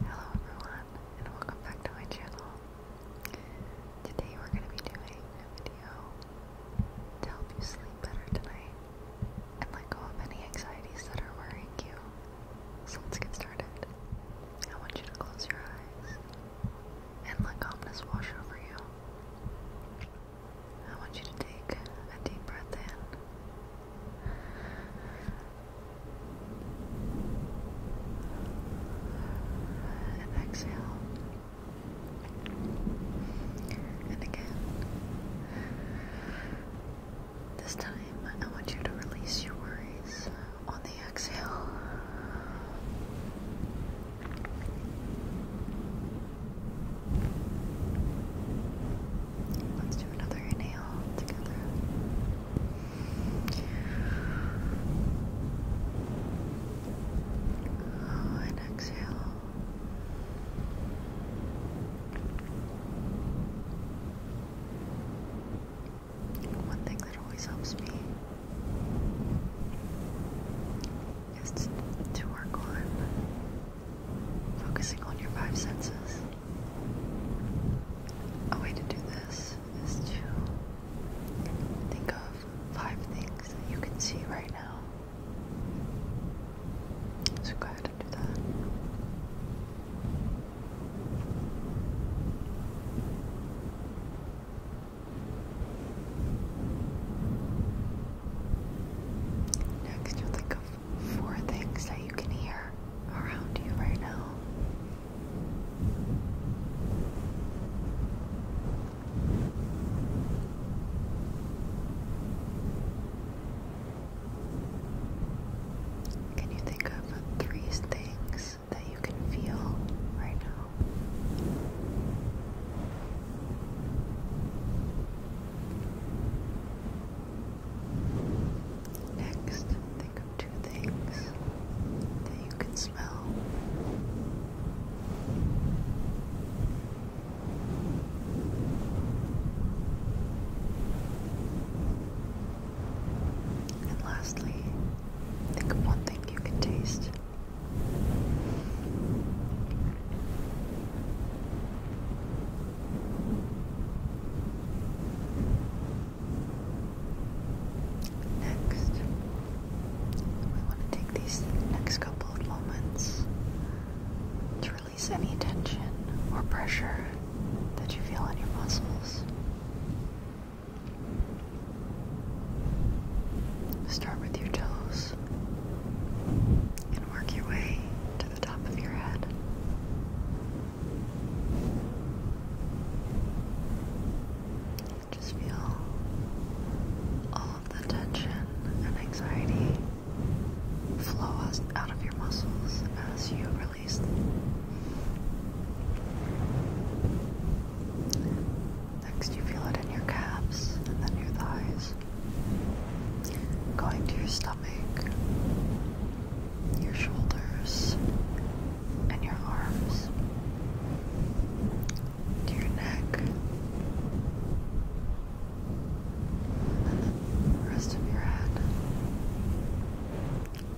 Hello everyone and welcome back to my channel. Today we're going to be doing a video to help you sleep better tonight and let go of any anxieties that are worrying you. So let's get started. I want you to close your eyes and let calmness wash over you. I want you to take a deep breath in and exhale, and again. This time, I want you to release your worries on the exhale. Let's do another inhale together. Oh, and exhale. One thing that always helps me is to work on focusing on your five senses. A way to do this is to think of five things that you can see right now. So go ahead and do that. Next, you'll think of four things that you can hear around you right now. Can you think of three things that you can feel right now? Next, think two things that you can smell. And lastly, think of one thing you can taste. Next, we want to take these next couple of moments to release any tension or pressure that you feel on your muscles. Start with your toes and work your way to the top of your head. Just feel all of the tension and anxiety flow out of your muscles as you release Next, you feel it in your calves and then your thighs, going to your stomach, your shoulders and your arms to your neck and then the rest of your head.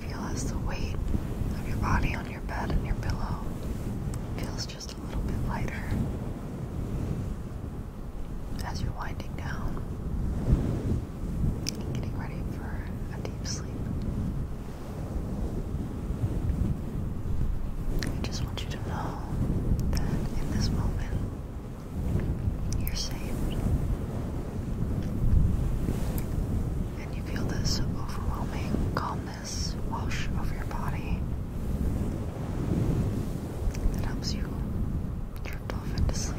Feel as the weight of your body on your bed and your pillow feels just a little bit lighter as you're winding down getting ready for a deep sleep. I just want you to know that in this moment, you're safe. And you feel this overwhelming calmness wash over your body that helps you drift off into sleep.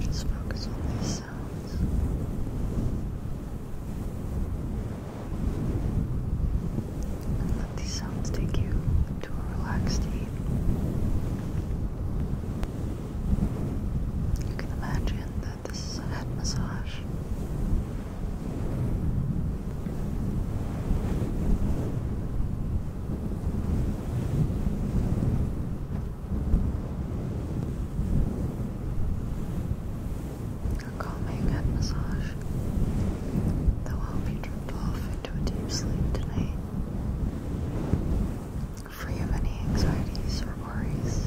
Just focus on this let these sounds take you to a relaxed state. You can imagine that this is a head massage. A calming head massage that will help you off into a deep sleep tonight, free of any anxieties or worries.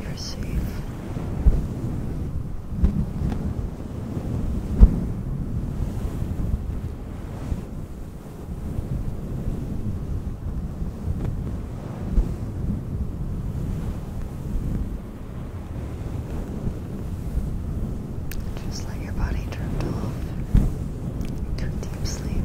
You're safe. Just let your body drift off to a deep sleep.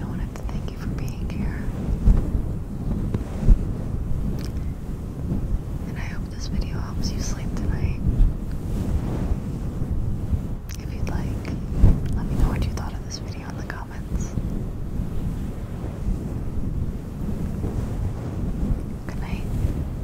I want to thank you for being here. And I hope this video helps you sleep tonight. If you'd like, let me know what you thought of this video in the comments. Good night.